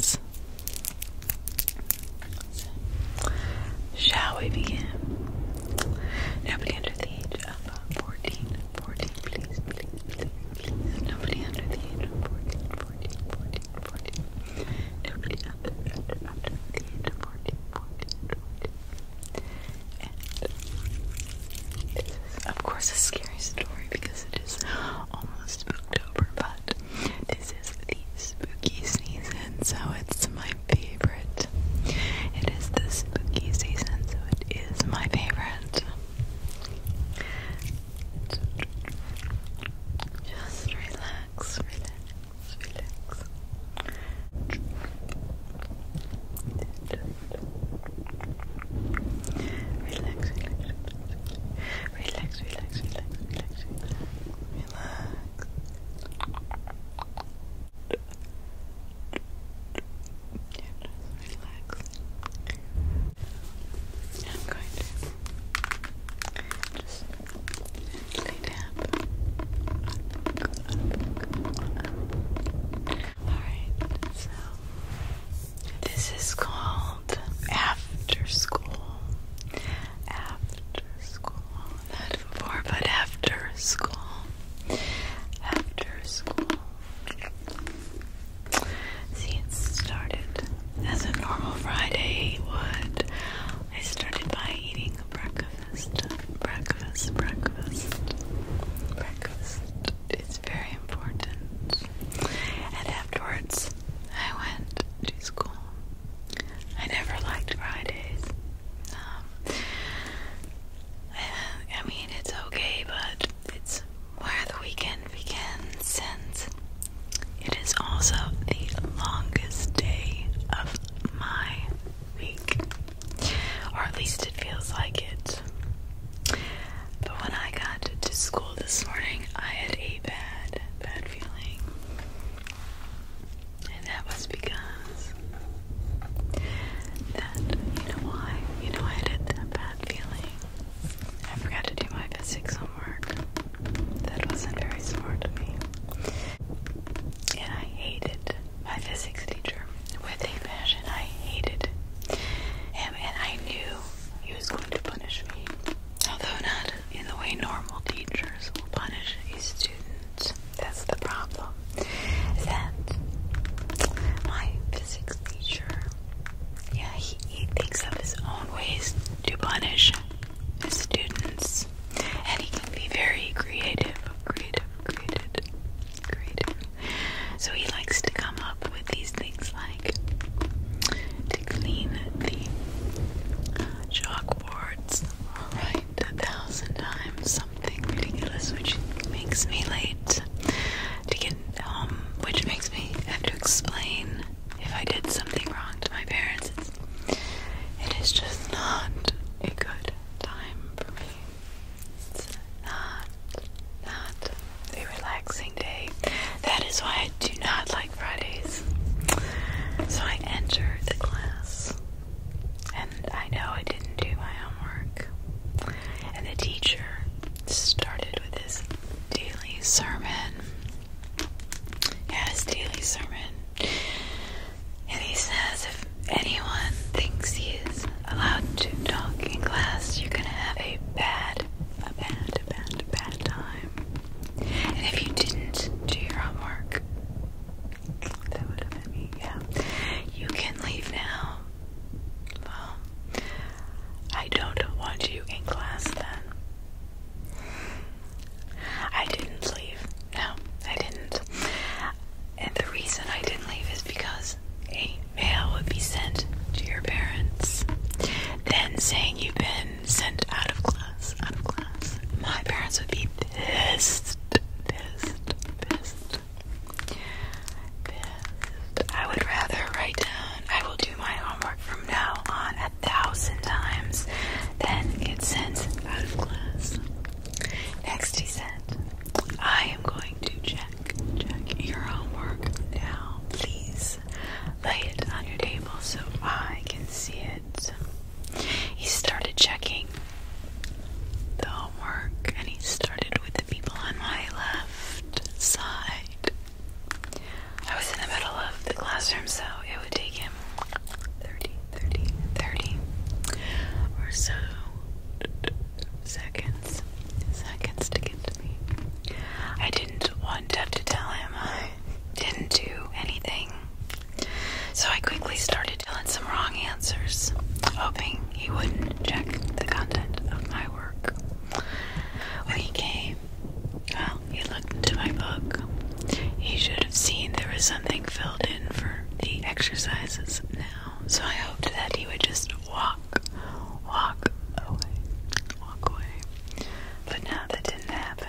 Shall we begin? Nobody under the age of uh, 14, please, please, please, please. Nobody under the age of 14, Nobody under, under, under the age of 14, this is, of course, a scary story because it is almost October, but this is the spooky season, so it's my favorite. It is the spooky season, so it is my favorite. Just relax, relax. Relax, relax, relax. Relax, relax, relax, relax, relax. I'm going to just gently tap. Alright, so this is called called After School. After School. Not before, but after school. After school. See, it started as a normal Friday would. I started by eating breakfast. Breakfast, breakfast, breakfast. It's very important. And afterwards, I went to school. I never liked Fridays. Um, I, mean, it's okay, but it's where the weekend begins since it is also the longest day of my week. Or at least it feels like it. But when I got to school this morning, I had a bad, bad and that was because that you know why? You know I did that bad feeling. I forgot to do my physics homework. That wasn't very smart of me. And I hated my physics teacher with a passion. I hated him and I knew he was going to punish me. Although not in the way normal teachers will punish a student. That's the problem. That my physics teacher, yeah, he, he thinks of his own ways to punish his students, and he can be very creative, creative, creative, creative. So he likes to come up with these things like to clean the chalkboards. Alright, a thousand times something ridiculous, which makes me late to get home, um, which makes me have to explain if I did something wrong to my parents. It's, it is just not a good time for me. It's not, not a relaxing day. That is why I do not like. Fridays. So I entered the class, and I know I didn't do my homework. And the teacher started with his daily sermon. Yes, daily sermon. And he says, if anyone thinks he is allowed to talk in class, you're gonna have a bad, a bad, a bad, a bad time. And if you didn't do your homework, that would have been me, yeah. You can leave now. Well, I don't want you in class then. I didn't leave. No, I didn't. And the reason I didn't leave is because a mail would be sent to your parents, then saying you've been sent out of class, out of class, my parents would be pissed, pissed, pissed, pissed. I would rather write down, I will do my homework from now on a thousand times than get sent out of class. Next he said, I am going to check, check your homework now, please. Lay it on your table so I can see it. He started checking the homework and he started with the people on my left side. I was in the middle of the classroom, so it would take him 30, or so seconds, seconds to get to me. I didn't want to have to tell him I didn't do anything. So I quickly started telling some wrong answers, hoping he wouldn't check the content of my work. When he came, well, he looked into my book. He should have seen there was something filled in for the exercises now, so I hoped that he would just walk, walk away, walk away. But now that didn't happen.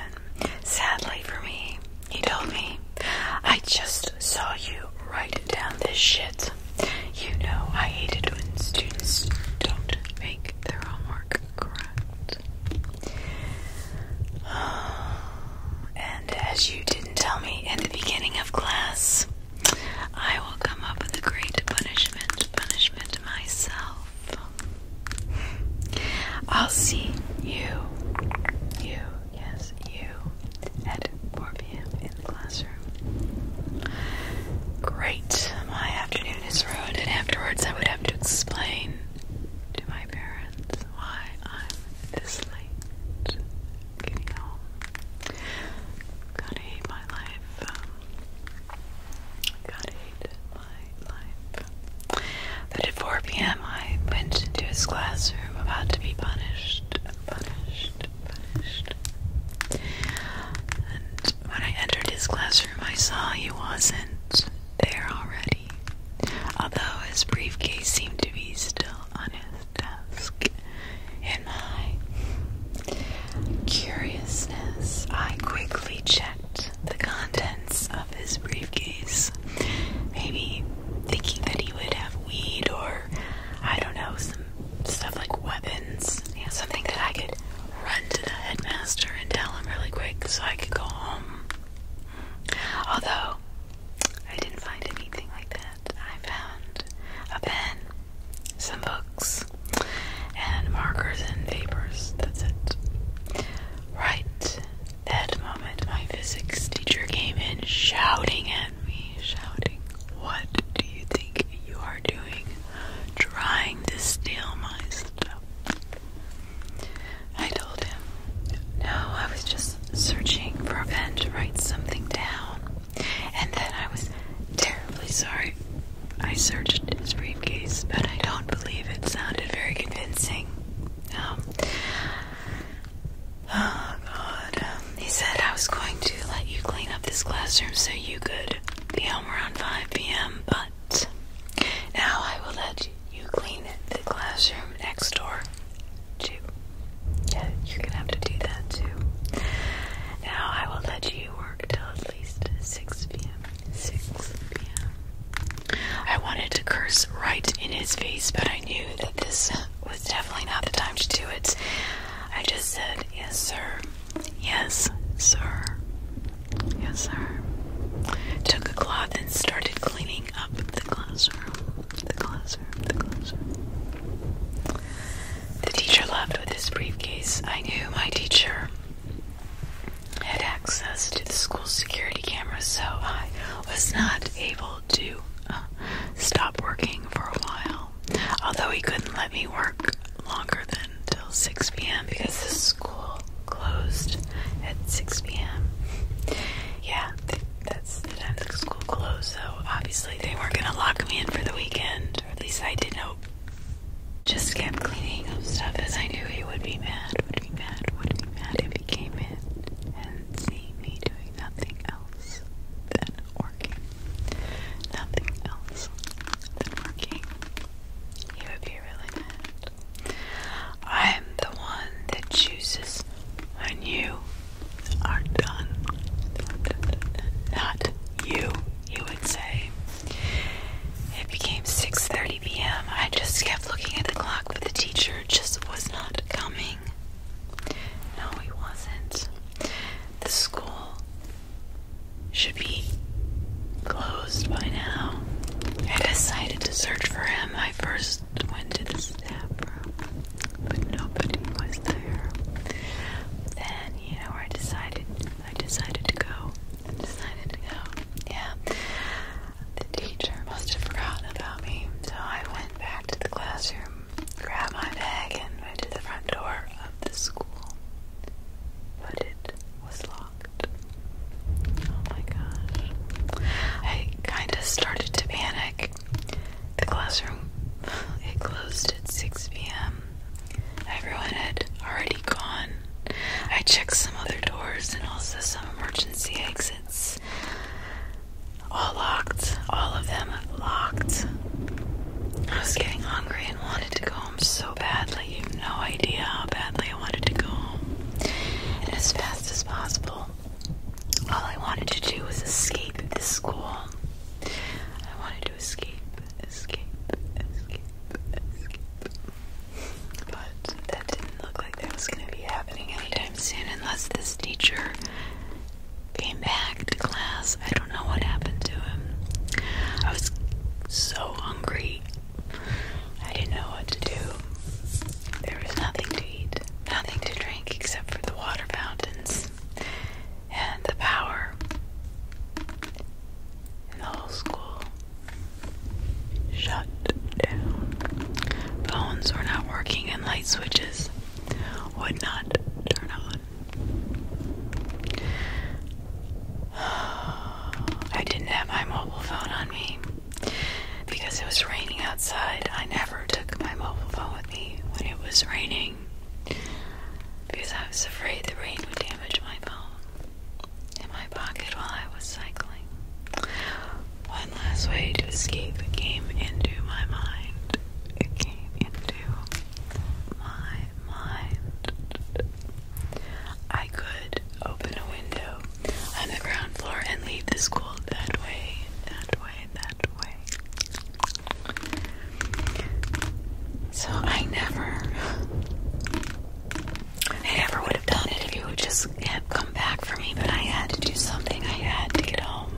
Sadly for me, he told me, I just saw you write down this shit. You know I hate it when students don't make their homework correct. And as you didn't tell me in the beginning of class, I will come up with a great punishment, punishment myself. I'll see you, you, yes, you, at 4 p.m. in the classroom. Great, my afternoon is ruined, and afterwards I would have to explain to my parents why I'm this late getting home. Gotta hate my life. gotta hate it. But at 4 p.m., I went into his classroom, about to be punished, And when I entered his classroom, I saw he wasn't there already, although his briefcase seemed to be still on his desk. In my curiousness, I quickly checked the contents of his briefcase. Maybe thinking that he would have weed or, I don't know, some stuff like weapons. Yeah, something that I could run to the headmaster and tell him really quick so I could go home. Although, I didn't find anything like that. I found a pen, some books, and markers and papers. That's it. Right. That moment, my physics teacher came in shouting at me, shouting, What do you think you are doing? Trying to steal my stuff. I told him, No, I was just searching for a pen to write something down, and then I was terribly sorry. I searched his briefcase, but I don't believe it sounded very convincing. Um, oh God. he said I was going to let you clean up this classroom so you could be home around 5 p.m., but now I will let you clean the classroom next door Yeah, you're gonna have to do that too. Now I will let you work till at least 6 p.m. I wanted to curse right in his face, but I knew that this was definitely not the time to do it. I just said, Yes, sir. Yes, sir. Yes, sir. Took a cloth and started cleaning up the classroom. The classroom, the classroom. The teacher left with his briefcase. I knew my teacher had access to the school's security cameras, so I was not able to uh, stop working for a while. Although he couldn't let me work longer than till 6 p.m. because the school closed at 6 p.m. Yeah, that's the time the school closed, so obviously they weren't gonna lock me in for the weekend, at least I didn't hope. Just kept cleaning up stuff as I knew he would be mad, would be mad, would be mad if he came in and see me doing nothing else than working. Nothing else than working. He would be really mad. I'm the one that chooses when you are done. Not you, he would say. It became 6.30 3 p.m. I just kept looking at the clock, but the teacher just was not coming. No, he wasn't. The school should be closed by now. I decided to search for him. I first went to the staff room, but nobody was there. Then, you know, I decided I decided to go. I decided to go. Yeah. The teacher must have forgotten about me, so I went back to the classroom, grabbed my bag, and went to the front door of the school. But it was locked. Oh my gosh. I kind of started to panic. The classroom, it closed at 6 p.m. Everyone had already gone. I checked some other doors and also some emergency exits. All locked. All of them locked. I was getting hungry and wanted to go home so badly. You have no idea how badly I wanted to go home. And as fast as possible, all I wanted to do was escape this school. I wanted to escape, escape, escape, escape. But that didn't look like that was going to be happening anytime soon unless this teacher came back to class. I don't know what happened to him. I was so hungry. I didn't know what to do. There was nothing to eat, nothing to drink except for the water fountains and the power in the whole school. Shut down. Phones were not working and light switches would not turn on. I didn't have my mobile phone on me because it was raining outside. I never took my mobile phone with me when it was raining because I was afraid the rain would damage my phone in my pocket while I was cycling. One last way to escape came into my mind. It came into my mind. I could open a window on the ground floor and leave the school that way, that way, that way. So I never, I never would have done it if you would just was have come back for me, but I had to do something. I had to get home.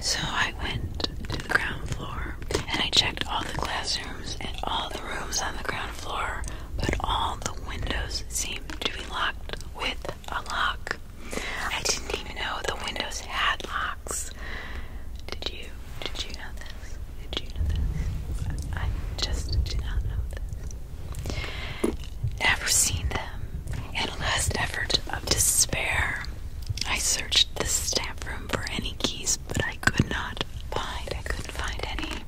So I went to the ground floor and I checked all the classrooms and all the rooms on the ground floor, but all the windows seemed to be locked with a lock. I didn't even know the windows had locks. Did you? Did you know this? Did you know this? I just did not know this. Never seen them. In a last effort of despair, I searched the stamp room for any keys, but I could not find. I couldn't find any.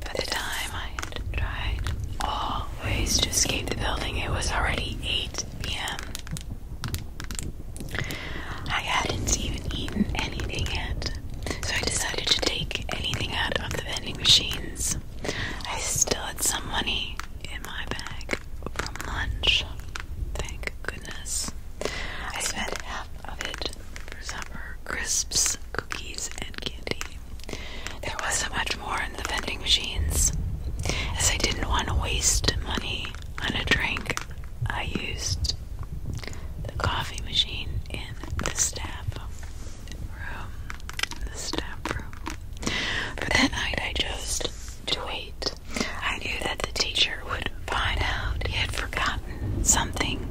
By the time I had tried all ways to escape the building, it was already 8 p.m. I hadn't even eaten anything yet, so I decided to take anything out of the vending machines. I still had some money in my bag from lunch. Thank goodness. I spent half of it for supper, crisps, cookies, and candy. There wasn't much more in the vending machines. As I didn't want to waste money on a drink, I used the coffee machine in the staff from the stamp room. But that night I chose to wait. I knew that the teacher would find out he had forgotten something.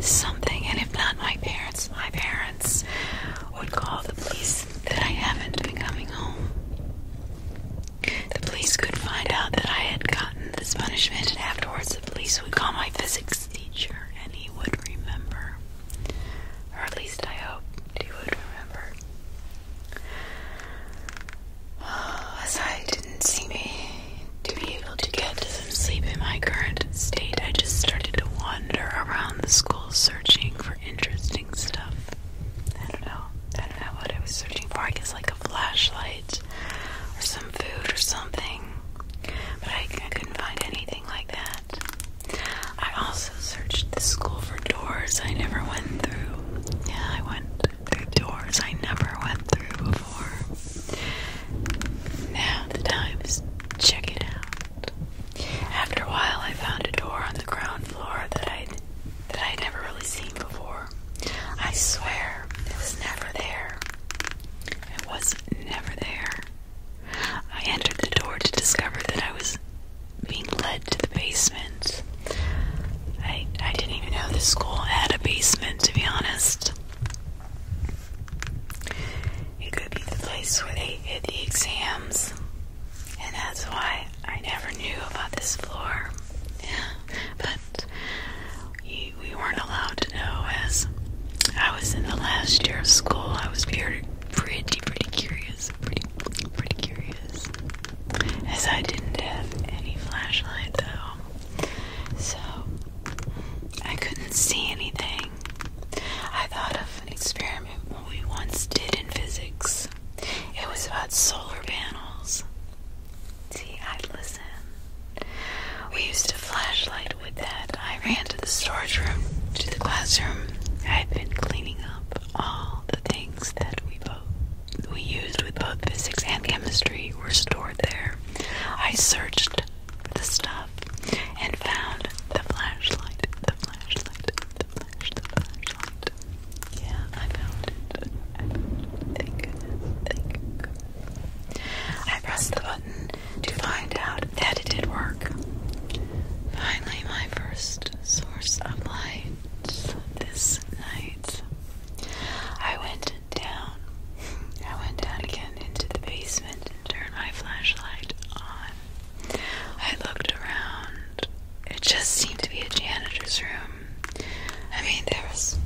Something, and if not my parents, my parents would call the police that I haven't been coming home. The police could find out that I had gotten this punishment, and afterwards the police would call my physics teacher and he would remember. Or at least I hope he would remember. as I didn't seem to be able to get to sleep in my current state, I just started to wander around the school searching for interesting stuff. I don't know. I don't know what I was searching for. I guess like a flashlight or some food or something. But I couldn't find anything like that. I also searched the school for doors I never went through. Yeah, I went through doors I never went through before. Now the times, check it out. After a while, I found a door on the ground floor that I that I had never really seen before. I swear, it was never there. It was never there. I entered the door to discover that I was being led to the basement. I I didn't even know the school had a basement, to be honest. It could be the place where they hid the exams, and that's why I never knew about this floor. but we, we weren't allowed to know as I was in the last year of school. I was peer pretty, pretty curious. Pretty, pretty curious. As I didn't have any flashlight though, so I couldn't see anything. I thought of an experiment we once did in physics. It was about solar panels. See, I'd listen. We used a flashlight with that, I ran to the storage room, to the classroom. I have been cleaning up all the things that we both we used with both physics and chemistry were stored there. I searched the stuff and found the flashlight, the flashlight, the flash, the flashlight. Yeah, I found it. I pressed the button to find out that it did work. Finally, my first source of light this night. I went down. I went down again into the basement and turned my flashlight on. I looked around. It just seemed to be a janitor's room. I mean, there was,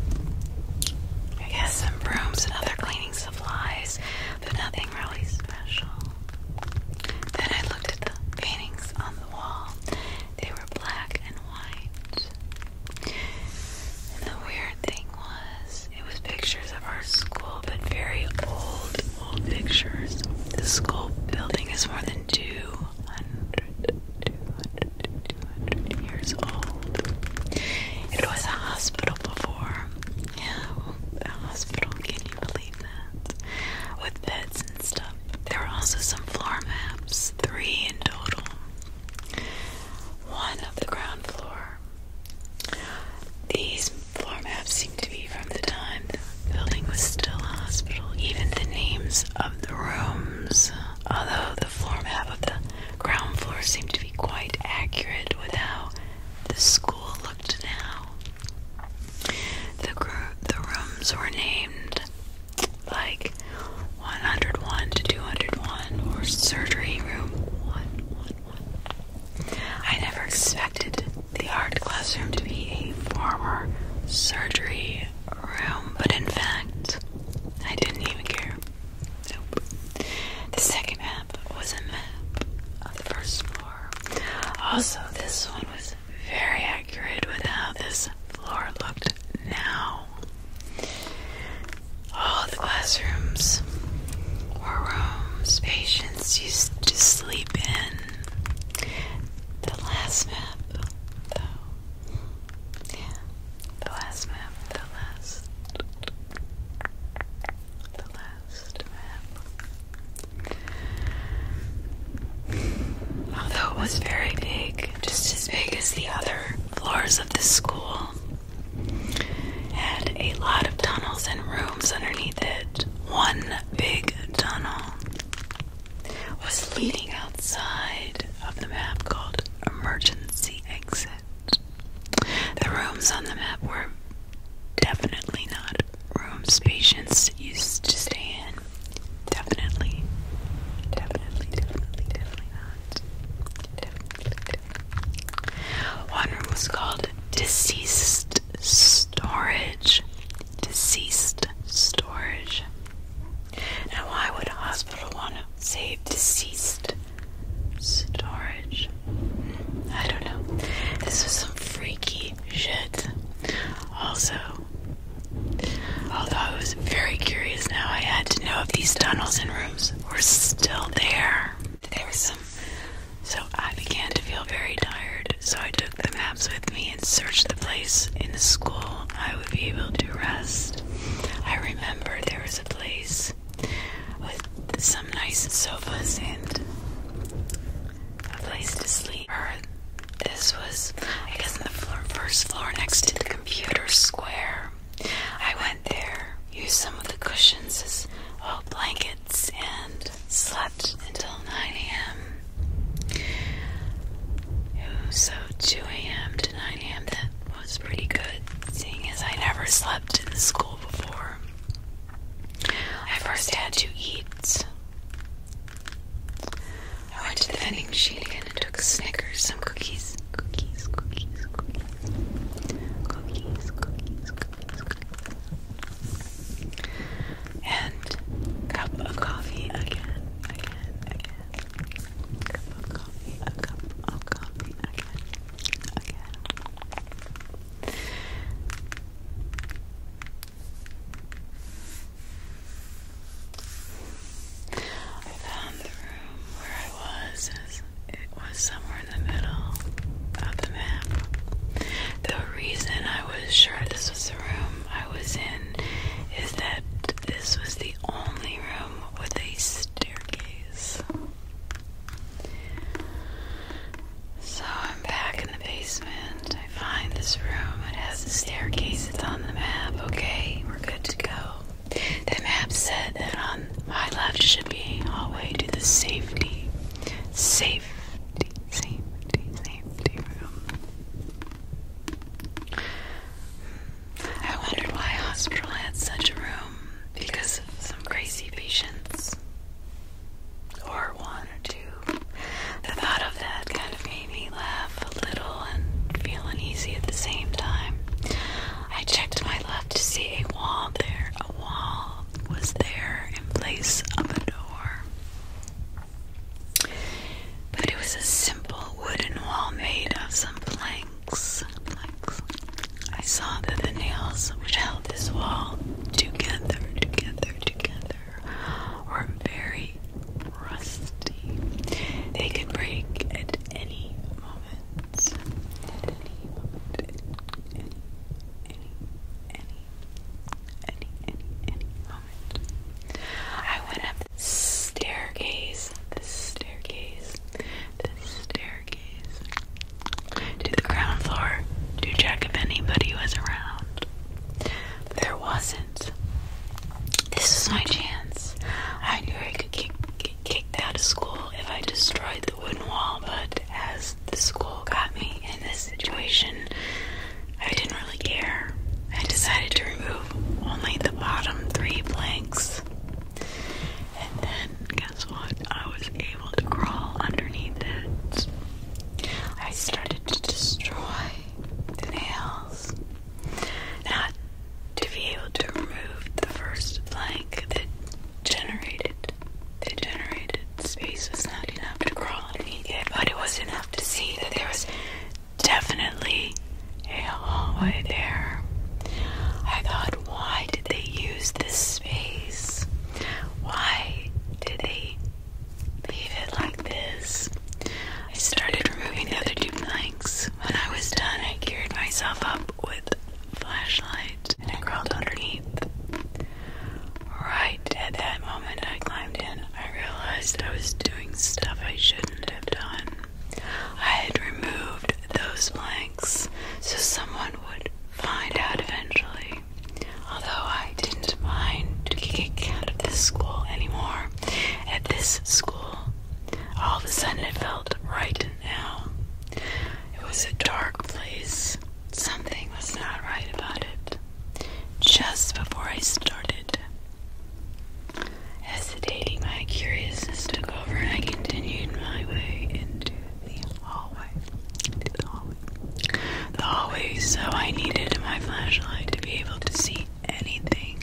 I guess, some brooms and other cleaning supplies, but nothing really special. Then I looked at the paintings on the wall. They were black and white. And the weird thing was, it was pictures of our school, but very old, old pictures. The school building is more than 200, 200, years old. It was a hospital before, yeah, the hospital, can you believe that? With beds and stuff. There were also some floor maps, three in total. One of the ground floor. These floor maps seem to be from the time the building was still a hospital. Even the names of the rooms, although the floor map of the ground floor seemed to be quite accurate with how the school looked now. The rooms were named like 101 to 201 or surgery room 101. I never expected the art classroom to be a former surgery room, but in fact, I didn't even care. Nope. The second was a map the first floor. Also, this one was very accurate with how this floor looked now. All the classrooms were rooms patients used to sleep in. The last map, though. The last map, the last. The last. Although it was very big, just as big as the other floors of the school, had a lot of tunnels and rooms underneath it. One big tunnel was leading outside of the map called Emergency Exit. The rooms on the map were Definitely not rooms patients used to stay in. Definitely. Definitely, definitely, definitely not. Definitely, definitely. One room was called deceased storage. Deceased storage. Now, why would a hospital want to save deceased storage? I don't know. This was some freaky shit. Also, although I was very curious now, I had to know if these tunnels and rooms were still there. There were some. So I began to feel very tired, so I took the maps with me and searched the place in the school I would be able to rest. I remember there was a place with some nice sofas and a place to sleep. this was, I guess, on the first floor next to the computer square. I went there, used some of the cushions as blankets, and slept until 9 a.m. So 2 a.m. to 9 a.m. That was pretty good, seeing as I never slept in school before. I first had to eat. I went to the vending machine again and took Snickers, some cookies. Cookies, cookies, cookies. Cookies, cookies, cookies, cookies. And cup of coffee again, again, again. Cup of coffee, a cup of coffee again, again. I found the room where I was. It was somewhere in the middle of the map. The reason I was sure this was the room I was in is that this was the only room with a staircase. So I'm back in the basement. I find this room. It has a staircase. It's on the map. Okay, we're good to go. The map said that on my left should be hallway to the safety, safety, safety, safety room. I wondered why hospital had such a room because of some crazy patients or one or two. The thought of that kind of made me laugh a little and feel uneasy at the same time. I checked my left to see a wall there. A wall was there in place of a door. But it was a simple wooden wall made of some planks. planks. I saw that the nails which held this wall together, together, together are very rusty. They can break at any moment. At any moment. any, any, any, any, any, any moment. I went up the staircase, the staircase, the staircase to the ground floor to check if anybody was around. There wasn't. This is my chance. I knew I could get, get kicked out of school if I destroyed the wooden wall, but as the school got me in this situation, I didn't really care. I decided to remove only the bottom three planks. And then, guess what? I was able to crawl underneath it. I started to destroy the nails. Not to be able to remove the first plank that generated the generated space was not enough to crawl underneath yet. but it was enough to see that there was definitely a hallway there. I thought, why did they use this space? Why did they Leave it like this. I started removing the other two planks. When I was done, I geared myself up with a flashlight and crawled underneath. Right at that moment I climbed in, I realized I was doing stuff I shouldn't have done. I had removed those planks so someone would find out eventually. Although I didn't mind to out of this school anymore, at this school, all of a sudden it felt right now. It was a dark place. Something was not right about it. Just before I started, hesitating, my curiosity took over and I continued my way Into the hallway the hallway, so I needed my flashlight to be able to see anything.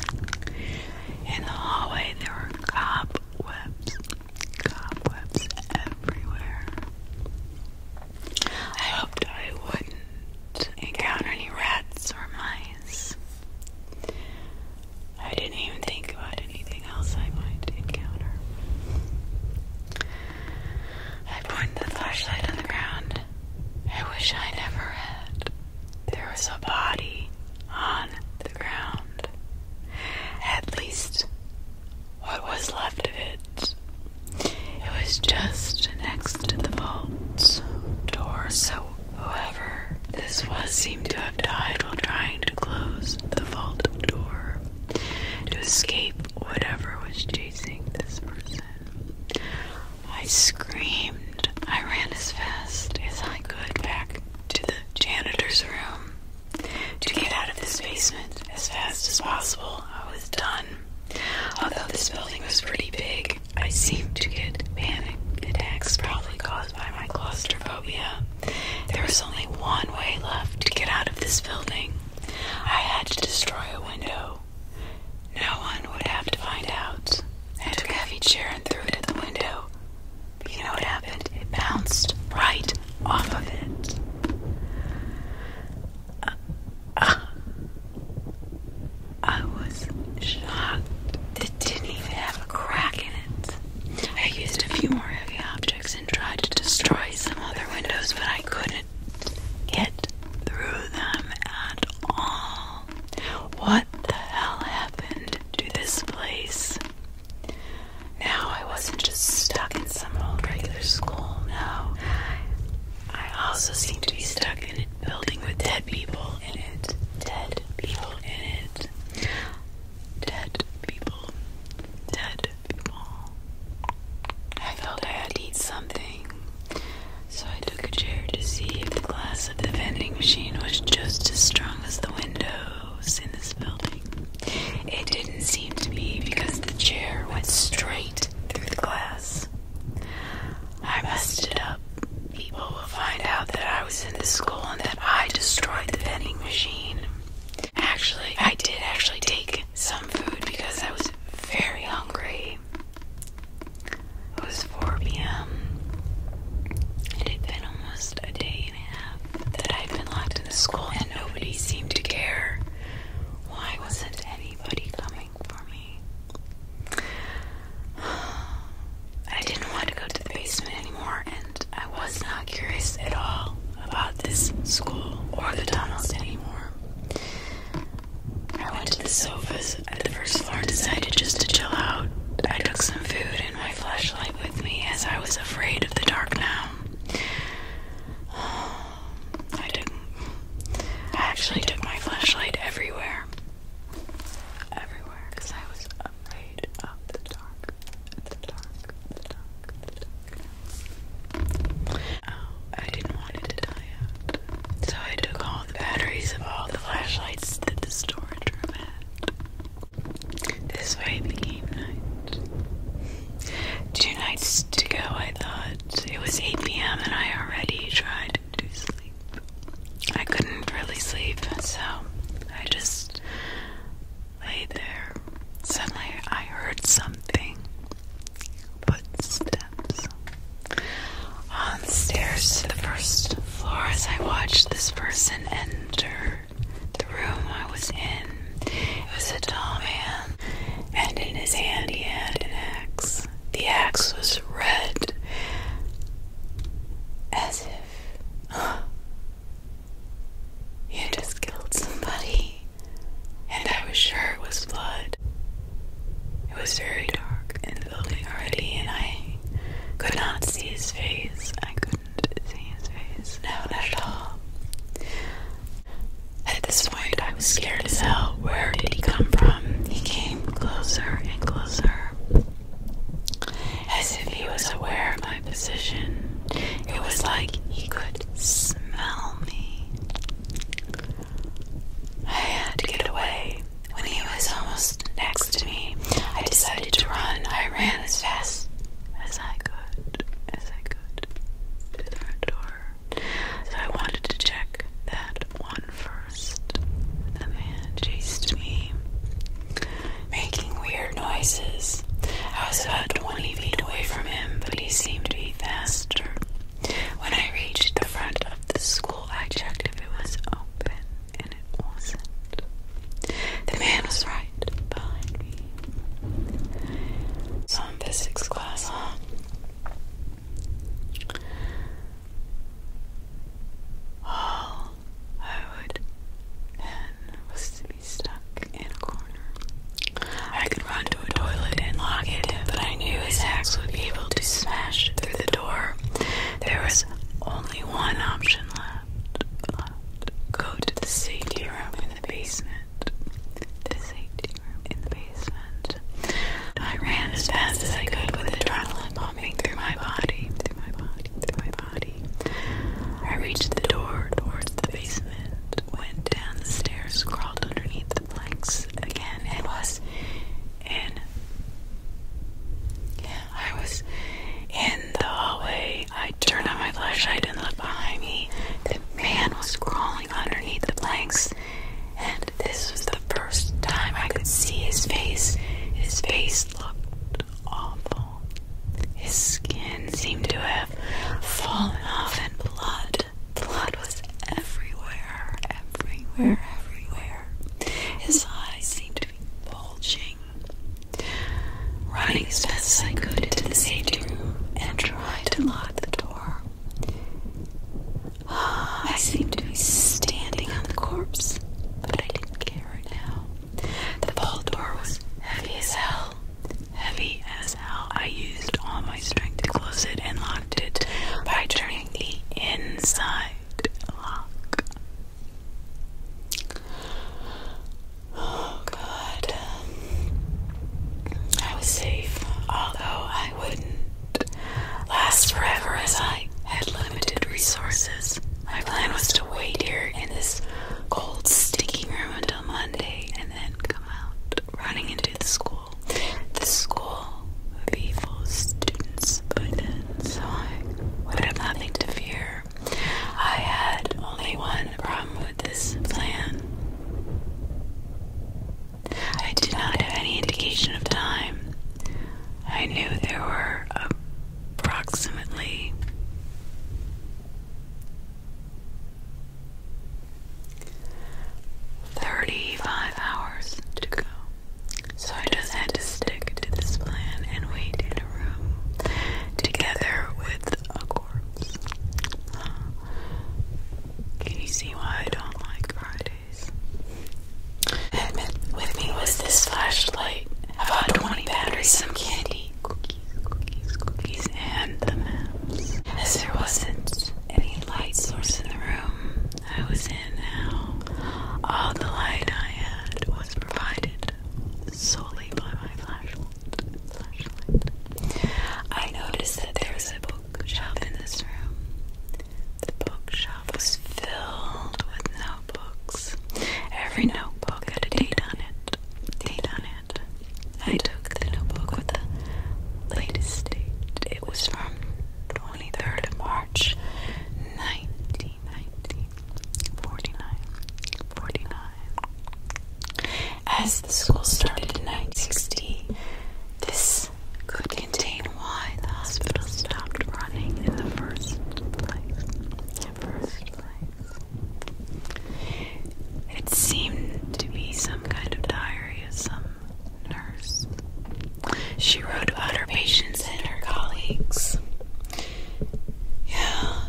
In the hallway, there were cobwebs, cobwebs everywhere. I hoped I wouldn't encounter any rats or mice. I didn't even think about anything else I might encounter. I pointed the flashlight on the ground. I wish I never had. There was a body on the ground. At least, what was left of it. It was just next to the vault door, so whoever this was seemed to have died while trying to close the vault door to escape whatever was chasing this person. I screamed. I ran as fast as I could back to the janitor's room to get out of this basement as fast as possible. I was done. Although this building was pretty big, I seemed to get panic attacks probably caused by my claustrophobia. There was only one way left to get out of this building. I had to destroy a window no one would have to find out. I took a heavy chair and threw it at the window. you know what happened? It bounced right off of it. I was shocked. It didn't even have a crack in it. I used a few more heavy objects and tried to destroy some other windows, but I couldn't get through them at all. What the hell happened to this place? Now I wasn't just stuck in some old regular school, no. I also seem to be stuck in a building with dead people in it. Dead people in it. Dead people. Dead people. I felt I had eat something so I took a chair to see if the glass of the vending machine was just as strong as the windows in this building. It didn't seem to be because the chair went straight through the glass. I messed it up. People will find out that I was in this school and that I destroyed the vending machine. Actually, I did actually take some food because I was very hungry. It was 4 p.m. It had been almost a day and a half that I'd been locked in the school, and nobody seemed to care. Why wasn't anybody coming for me? I didn't want to go to the basement anymore, and I was not curious at all about this school or the tunnels anymore. I went to the sofas at the first floor decided just to chill out. I took some food and my flashlight with me as I was afraid of the dark now. I did I actually took my flashlight everywhere. Everywhere, because I was afraid of the dark. The dark, the dark, the dark. Oh, I didn't want it to die out. So I took all the batteries of all the flashlights that the storage room had. This way became night. Two nights to go, I thought. It was 8 p.m. and I already tried to sleep. I couldn't really sleep, so I just lay there. Suddenly I heard something footsteps on stairs to the first floor as I watched this person enter the room I was in. It was a tall man, and in his hand he had an axe. The axe was red, as if he had just killed somebody, and I was sure it was blood. It was very dark in the building already, and I could not see his face. I couldn't see his face. No, not at all. At this point, I was scared as hell. Where did he come from? He came closer and closer, as if he was aware of my position. It was like he could smell me. I had to get away. When he was almost next to me, I decided to run. I ran as fast as I could, as I could, to the front door. So I wanted to check that one first. The man chased me, making weird noises. I was about 20 feet away from him, but he seemed to be faster when I reached the front of the school, I checked if it was open, and it wasn't. The man was right behind me. So, physics class, huh? All I would then was to be stuck in a corner. I could run to a toilet and lock it, but I I knew his axe would be able to smash through the door, there was only one option left. Go to the safety room in the basement. The safety room in the basement. I ran as fast as I could with adrenaline pumping through my body, through my body. I reached the door towards the basement, went down the stairs, crawled underneath the again. It was in. I was in the hallway. I turned on my flashlight and looked behind me. The man was crawling underneath the planks, and this was the first time I could see his face. His face looked awful. His skin seemed to have fallen off, and blood. Blood was everywhere, everywhere, everywhere. His eyes seemed to be bulging. Running as fast as I could into the safety room and trying to lock the door. I seemed to be standing on the corpse, but I didn't care now. The ball door was heavy as hell. Heavy as hell. I used all my strength to close it and locked it by turning the inside Oh God, I was safe, although I wouldn't last forever as I had limited resources. My plan was to wait here in this cold, sticky room until Monday and then come out running into the school. The school evil students put in, I would have nothing to fear. I had only one problem with this plan. I did not have any indication of time. I knew there were approximately Thirty-five hours to go. So I just had to stick to this plan and wait in a room together with a corpse. Can you see why I don't like Fridays? With me was this flashlight, about 20 batteries, some candy, cookies, cookies, cookies, and the maps. As there wasn't any light source in the room, I was in now. All the light I had was provided solely by my flashlight. I noticed that there was a bookshelf in this room. The bookshelf was filled with notebooks. Every notebook had a date on it. Date on it. I took the notebook with the latest date. It was from the 23rd of March. As the school started in 1960, this could contain why the hospital stopped running in the first place. It seemed to be some kind of diary nurse. She wrote about her patients and her colleagues. Yeah,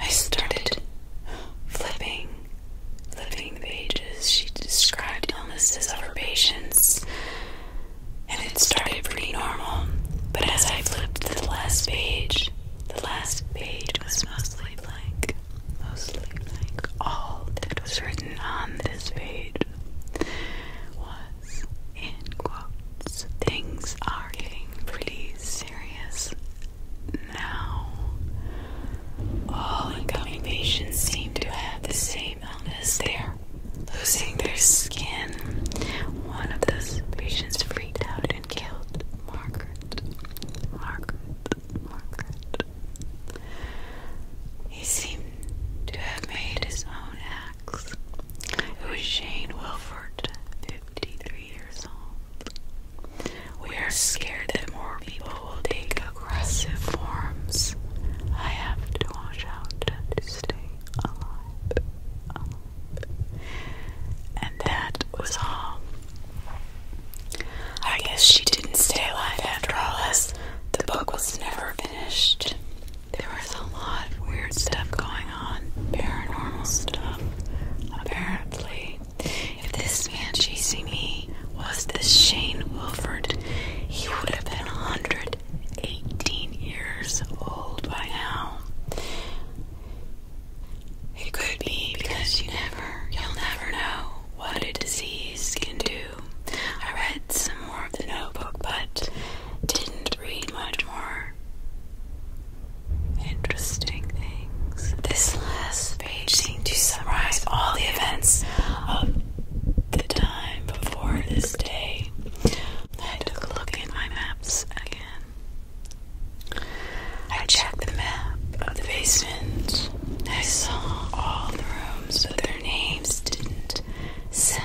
I started flipping, flipping the pages. She described illnesses of her patients, and it started pretty normal. But as I flipped to the last page, the last page was mostly blank. Mostly blank. All that was written on this page was in quotes. Things are getting pretty serious now. All incoming patients seem to have the same illness. They're losing their skin. One of those patients freaked out and killed Margaret. Margaret. Margaret. He seemed to have made his own Max, was Shane Wilford, 53 years old. We are scared that more people will take aggressive forms. I have to watch out to stay alive. And that was all. I guess she didn't stay alive after all, This, the book was never finished. There was a lot of weird stuff going on, paranormal stuff. Apparently, if this man chasing me was this Shane Wilford, he would have been 118 years old by now. It could be because you never, you'll never know what a disease can do I read some more of the notebook, but didn't read much more interesting things. This last page seemed to summarize all the events of the time before this day. I took a look at my maps again. I checked the map of the basement. I saw all the rooms, but their names didn't sell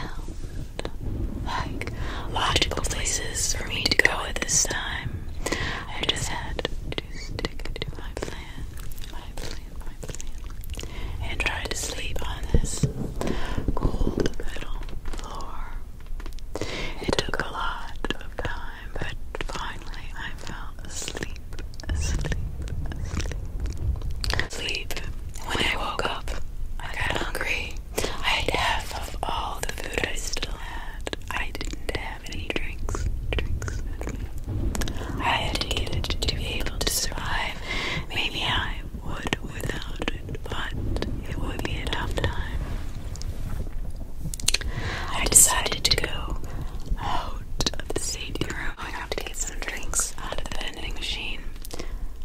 like logical places for me to go at this time. I just had to stick to my plan, my plan, my plan, and try to sleep on this cold metal floor. It took a lot of time, but finally I fell asleep, asleep, asleep. Sleep when I woke up, I got hungry. I had half of all the food I still had. I didn't have any drinks. Drinks. I had to to be able to survive. Maybe I would without it, but it would be a tough time. I decided to go out of the safety room. I have to get some drinks out of the machine.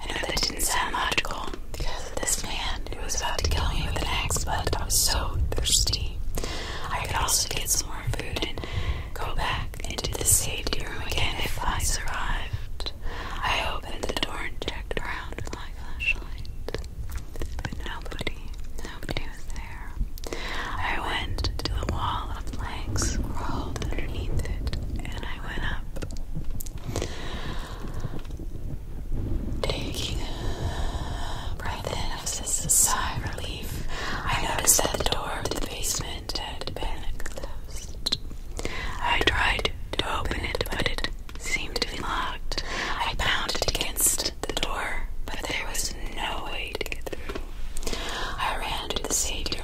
I know that didn't sound logical because this man who was about to kill me with an axe, but I was so thirsty. I could also get some more food and go back into the safety room again if I survived. I opened the door and checked around with my flashlight, but nobody, nobody was there. I went to the wall of planks, crawled underneath it, and I I went up. Taking a breath in of a sigh of relief, I noticed that the door of the basement had been closed. I tried to open it, but it seemed to be locked. I pounded against the door, but there was no way to get through. I ran to the safety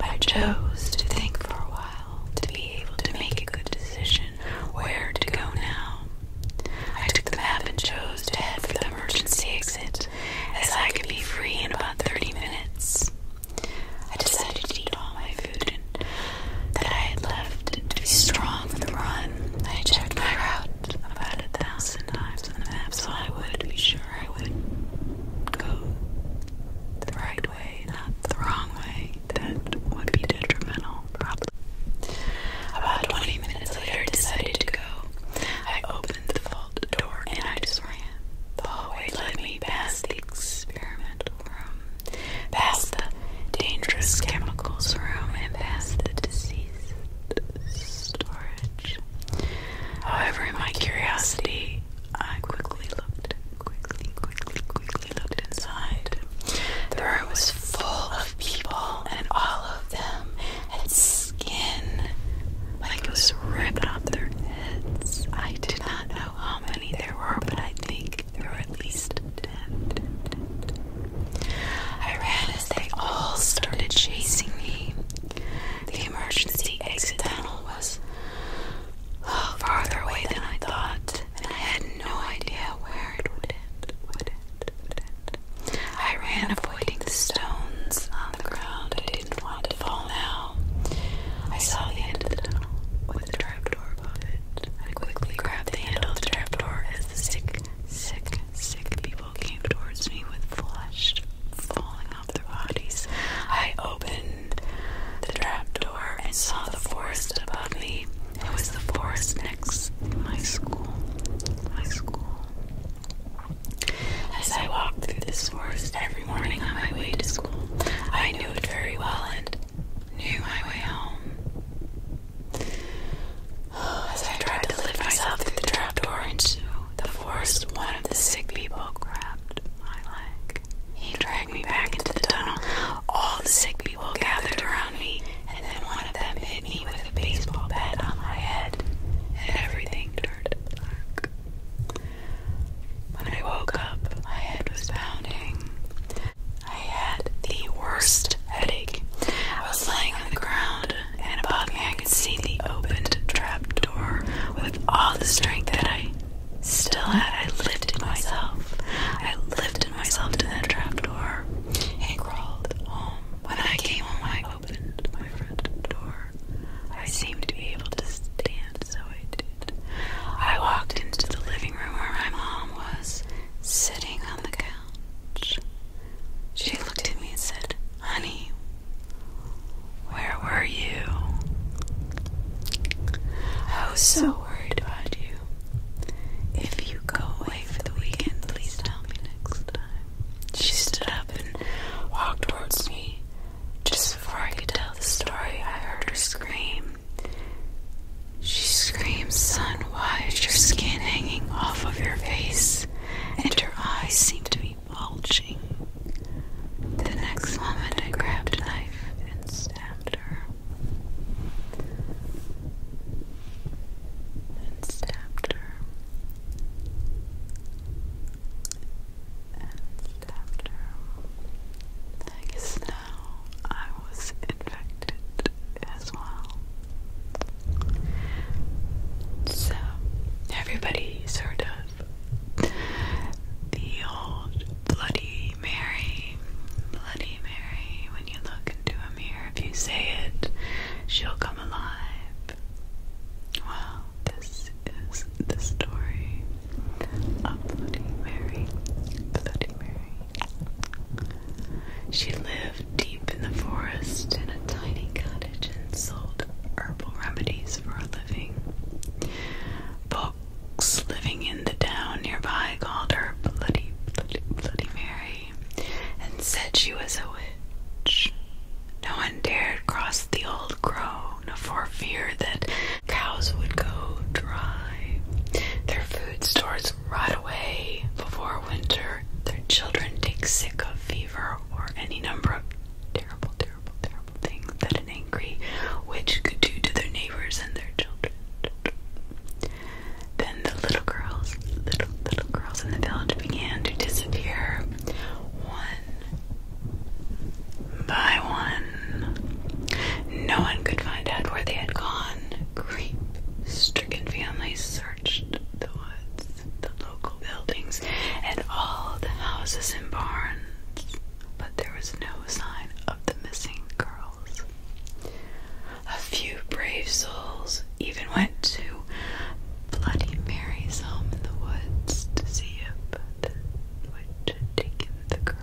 I chose to think for a while to be able to make a good decision where to go now. I took the map and chose to head for the emergency exit, as I could be free in about 30 minutes. I decided to eat all my food and that I had left to be strong for the run. I checked my route about a thousand times on the map so I would be sure I would go the right way, not the wrong way. That would be detrimental, probably. About 20 minutes later, I decided to go. I opened the vault door and I just ran. The hallway led me past the experimental room, past the dangerous chemicals room, and past the diseased storage. However, my curiosity I quickly looked, quickly, quickly, quickly looked inside. The room was full of people, and all of them had skin like it was ripped off their heads. I did not know how many there were, but I think there were at least ten. I ran as they all started chasing me. The emergency exit tunnel was farther away than I thought, and I had no idea where it would end. I ran, avoiding the stones on the ground. I didn't want to fall now. I saw the end of the tunnel with the trapdoor above it. I quickly grabbed the handle of the trapdoor as the sick, sick, sick people came towards me with flushed, falling their bodies. I opened the trap door and saw the forest above me. It was the forest next my school. My school. As I walked through this forest every morning on my way to school, I knew it very well and knew my way home. As I tried to lift myself through the trap door into the forest, one of the sick people cried grabbed my He dragged me back into the tunnel. All the sick people gathered around me, and then one of them hit me with a baseball bat on my head, and everything turned dark. When I woke up, my head was pounding. I had the worst headache. I was lying on the ground, and above me I could see the opened trap door with all the strength that I Still, had I lifted myself. I lifted myself to that door. and crawled home. Um, when I came home, I opened my front door. I seemed to be able to stand, so I did. I walked into the living room where my mom was sitting on the couch. She looked at me and said, Honey, where were you? I oh, was so worried about you. If you go away for the weekend, please tell me next time. She stood up and walked towards me. Just before I could tell the story, I heard her scream. She screamed, Son, why is skin hanging off of your face? And her eyes seemed to be bulging. The next moment, I grabbed a knife and stabbed her. And stabbed her. And stabbed her. I guess now I was infected as well. So, everybody sort of the old Bloody Mary. Bloody Mary, when you look into a mirror, if you say it, she'll come alive. Well, this is the story of Bloody Mary. Bloody Mary. She lived deep in the forest in a tiny cottage and sold herbal remedies for a living. Bob living in the town nearby called her Bloody, Bloody, Bloody Mary and said she was a witch. No one dared cross the old crone for fear that cows would go dry. Their food stores rot away before winter. Their children take sick of fever or any number of terrible terrible, terrible things that an angry witch could do to their neighbors and their children. Then the little girls, little little girls in the village began to disappear one by one. No one could find out where they had gone. Grief stricken families searched the woods, the local buildings, and all the houses and barns but there was no sign of the missing girls. A few brave souls even went to Bloody Mary's home in the woods to see if the witch had taken the girls,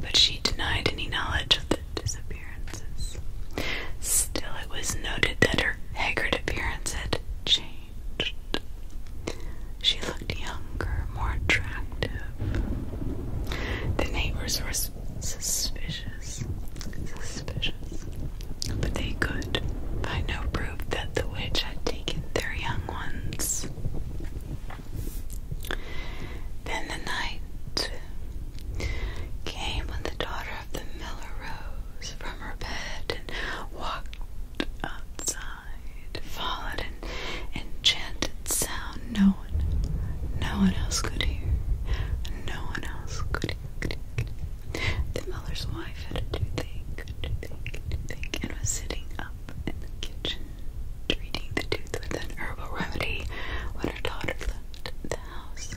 but she denied any knowledge of the disappearances. Still, it was noted that her haggard appearance had changed. She younger, more attractive. The neighbors were suspicious, suspicious, but they could find no proof that the witch had taken their young ones. Then the night came when the daughter of the miller rose from her bed and walked outside. Followed an enchanted sound no one, no one else could hear. No one else could hear. The miller's wife had a toothache, and was sitting up in the kitchen, treating the tooth with an herbal remedy when her daughter left the house.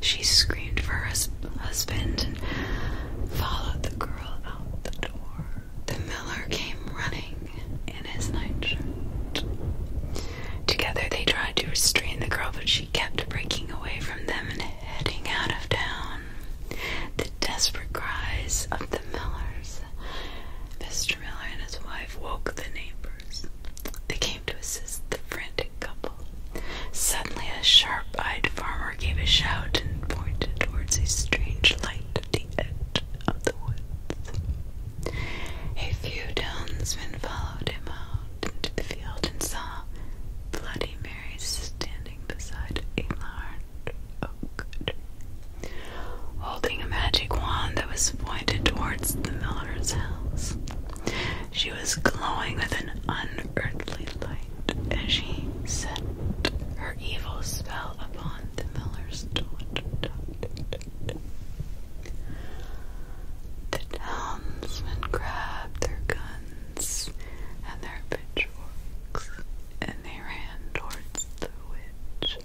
She screamed for her husband and followed the girl out the door. The miller came running in his nightshirt. Together they tried to restrain the girl, but she kept breaking away from them and heading out of town. The desperate cries of the millers. Mr. Miller and his wife woke the neighbors. They came to assist the frantic couple. Suddenly, a sharp eyed farmer gave a shout and pointed towards a strange light at the edge of the woods. A few townsmen followed him out into the field and saw Bloody Mary standing beside a large oak holding a magic wand that was pointed towards the miller's house. She was glowing with an unearthly light as she set her evil spell upon the miller's daughter The townsmen grabbed their guns and their pitchforks and they ran towards the witch.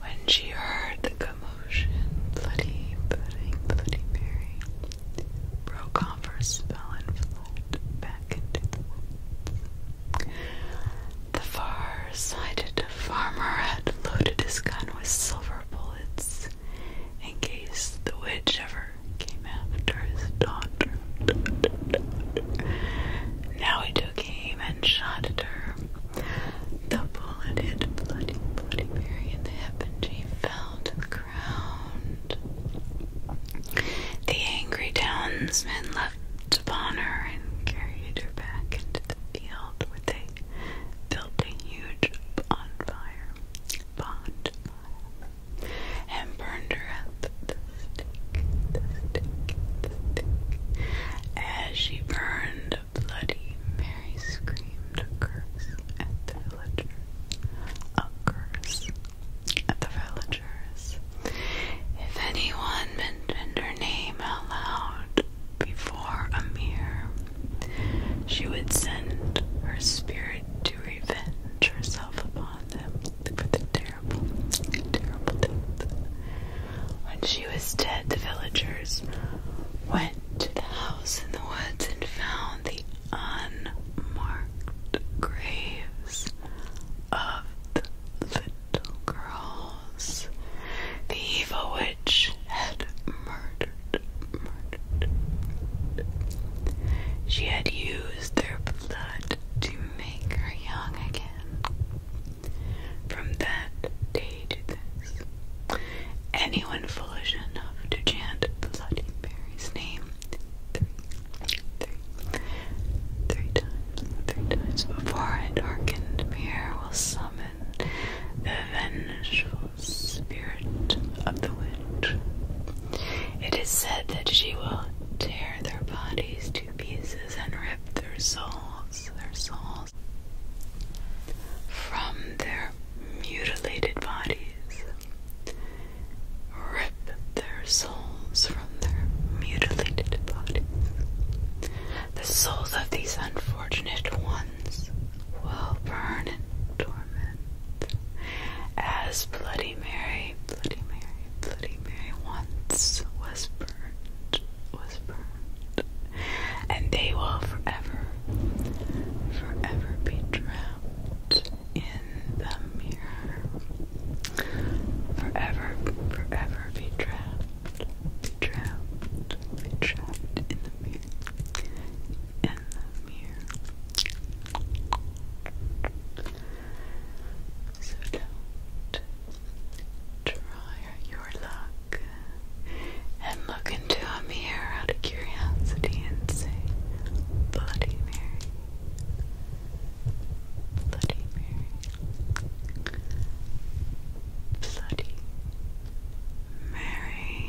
When she heard the commotion, Bloody, Bloody, Bloody Mary broke off her spell and the far-sighted farmer had loaded his gun with silver bullets in case the witch ever came after his daughter. Now he took aim and shot at her. The bullet hit Bloody Bloody Mary in the hip and she fell to the ground. The angry townsman left leapt upon her and carried her back into the field where they built a huge bonfire, bonfire and burned her up the stick, As she burned, Bloody Mary screamed a curse at the villager. A curse at the village. If anyone mentioned her name out loud before a mirror, she would send her spirit to revenge herself upon them for the terrible, terrible death. When she was dead, the villagers went to the house in the woods and found the unmarked graves of the the evil witch had murdered, murdered. She had used their blood to make her young again. From that day to this, anyone foolish enough to chant Bloody Mary's name three, times, three times before a darkened mirror will summon the vengeful spirit of the witch. It is said that she will tear their bodies to pieces and rip their souls, their souls from their mutilated bodies. Rip their souls souls from their mutilated bodies. The souls of these unfortunate ones will burn in torment, as Bloody Mary, Bloody Mary, Bloody Mary once was burned, was burned, and they will forever, forever be drowned in the mirror Forever, forever be trapped, be trapped, be trapped in the mirror, So don't try your luck and look into a mirror out of curiosity and say, Bloody Mary. Bloody Mary. Bloody Mary.